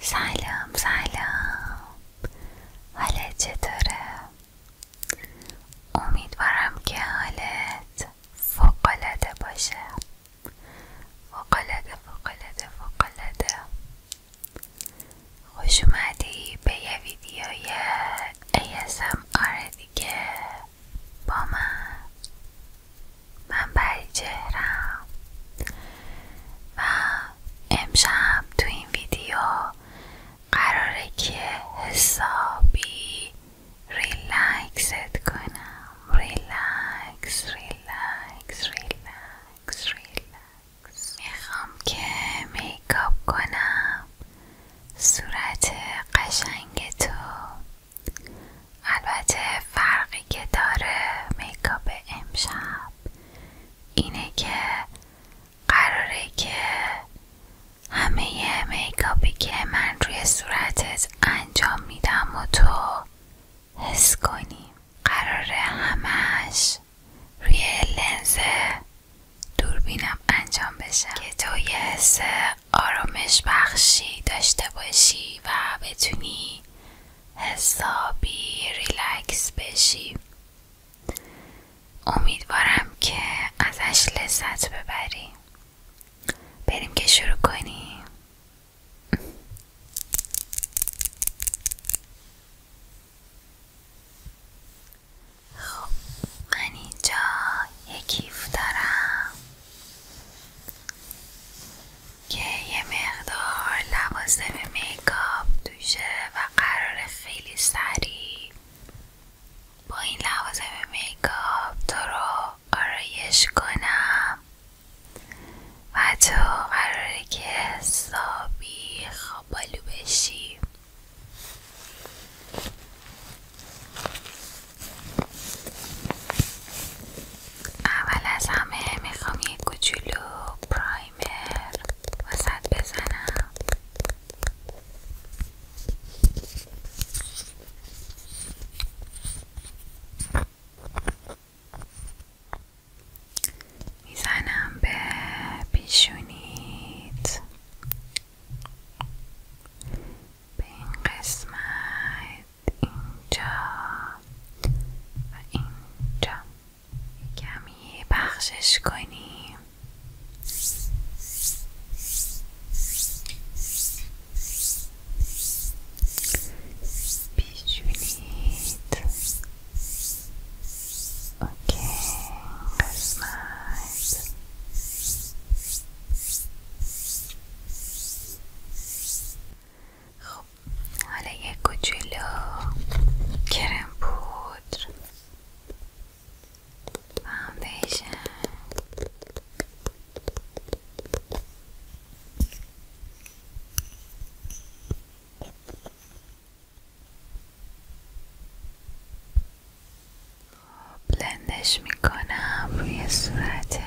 سلام سلام حالت چطوره؟ امیدوارم که حالت العاده باشه فوقالعاده فوقالعاده فوقالعاده خوش اومدی به یه ویدیوی ASMR دیگه با من من پری جهرم و امشب تو این ویدیو قراره که حسابی ریلکست کنم ریلکس میخوام که میکاپ کنم صورت قشنگ تو البته فرقی که داره میکاپ امشب اینه که قراره که همه میکاپی که من روی صورتت انجام میدم و تو حس کنیم قراره همش روی لنز دوربینم انجام بشه که تو یه حس آرامش بخشی داشته باشی و بتونی حسابی ریلکس بشی امیدوارم که ازش لذت ببری بریم که شروع کنیم خب من اینجا کیف دارم که یه مقدار لوازم میکاپ دوشه و قرار خیلی سریع با این لوازم میکاپ تو رو آرایش کنم و تو قراره که حسابی خوابالو بشی اول از همه میخوام یه کوچولو پرایمر وسط بزنم میزنم به پیشونیت به این قسمت اینجا و اینجا کمی بخشش کنیم بیجونید اوکی قسمت خب حالا یک کوچولو کرم پودر فاندیشن بلندش میکنم روی صورتت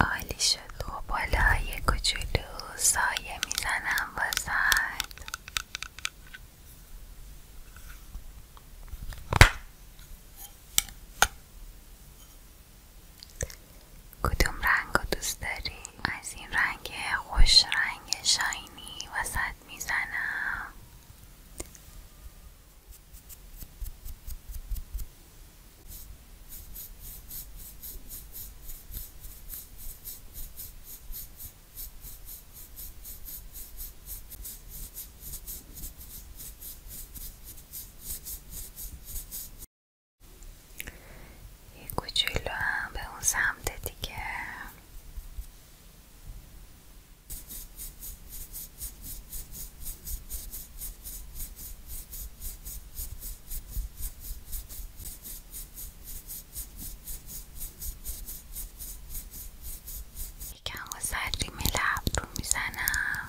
عالی شد و بالا یه کوچولو سایه میزنم وسط کدوم رنگ رو دوست داری؟ از این رنگ خوش رنگ شاینی وسط میزنم یه کوچولو هم به اون سمت دیگه یکم با سریم لب رو میزنم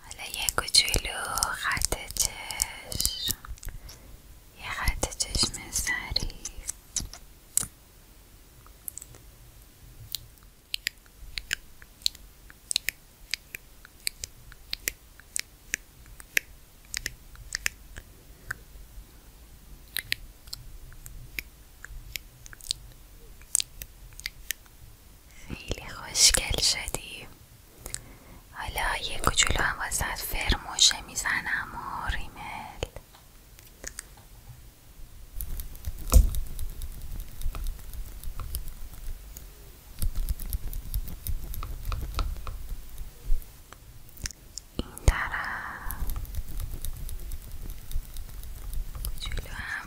حالا یه کوچولو خط چشم یه خیلی خوشگل شدی حالا یه کوچولو هم واسه فرموشه میزنم و ریمل این طرف هم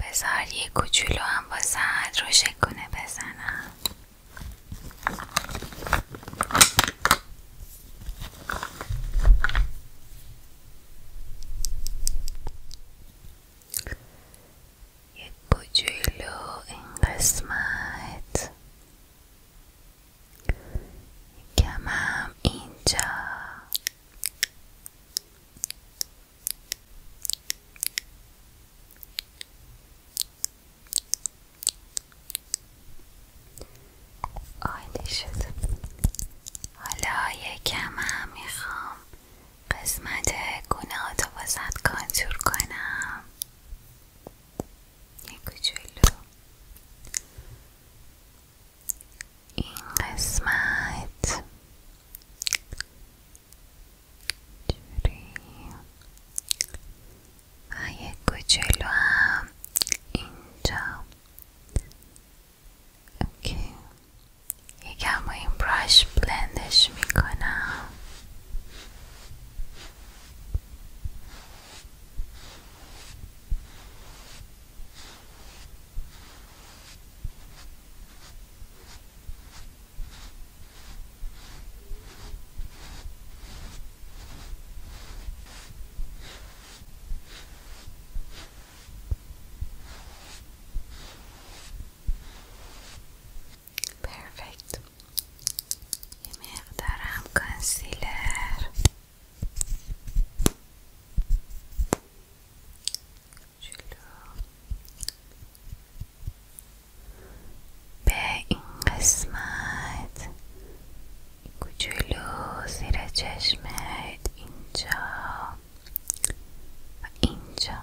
بذار یه کوچولو هم با ساعت رو شکونه بزنم یک بو این قسمت کمم اینجا عالی شد حالا کم هم میخوام قسمت گناهاتو واسد کانتور کنم یه کوچولو این قسمت جوری و یه کوچولو هم اینجا اوکی یکم این براش بلندش میکنم پرفکت یه مقدار هم کانسیلر به این قسمت کوچولو زیر چشمت اینجا و اینجا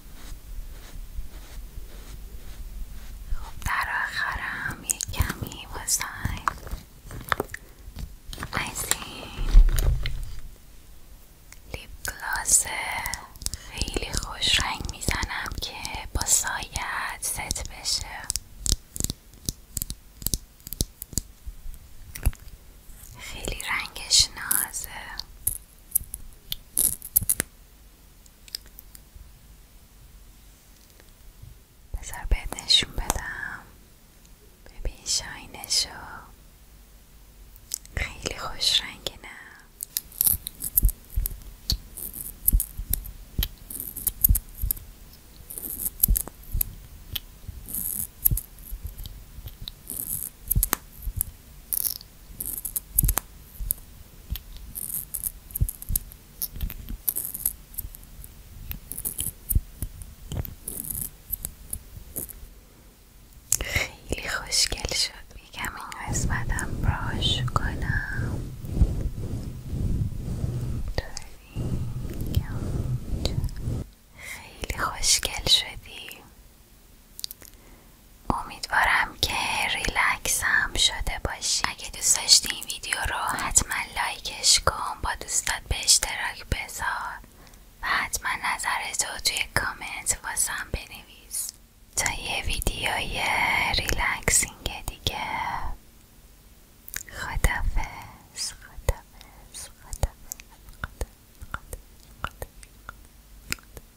خب در آخرم یه کمی واسه از این لیپ گلازه خیلی خوش رنگ میزنم که با سایت ست بشه خیلی رنگش نازه بذار بهت نشون بدم ببین شاینشو خیلی خوش رنگ نه خیلی خوشگل شد میگم این قسمتم براش کنم خیلی خوشگل شدی امیدوارم که ریلکس هم شده باشی اگه دوست داشتی این ویدیو رو حتما لایکش کن با دوستات به اشتراک بذار و حتما نظرتو توی کامنت واسم بنویس تا یه ویدیوی ریلکسینگ دیگه خدافز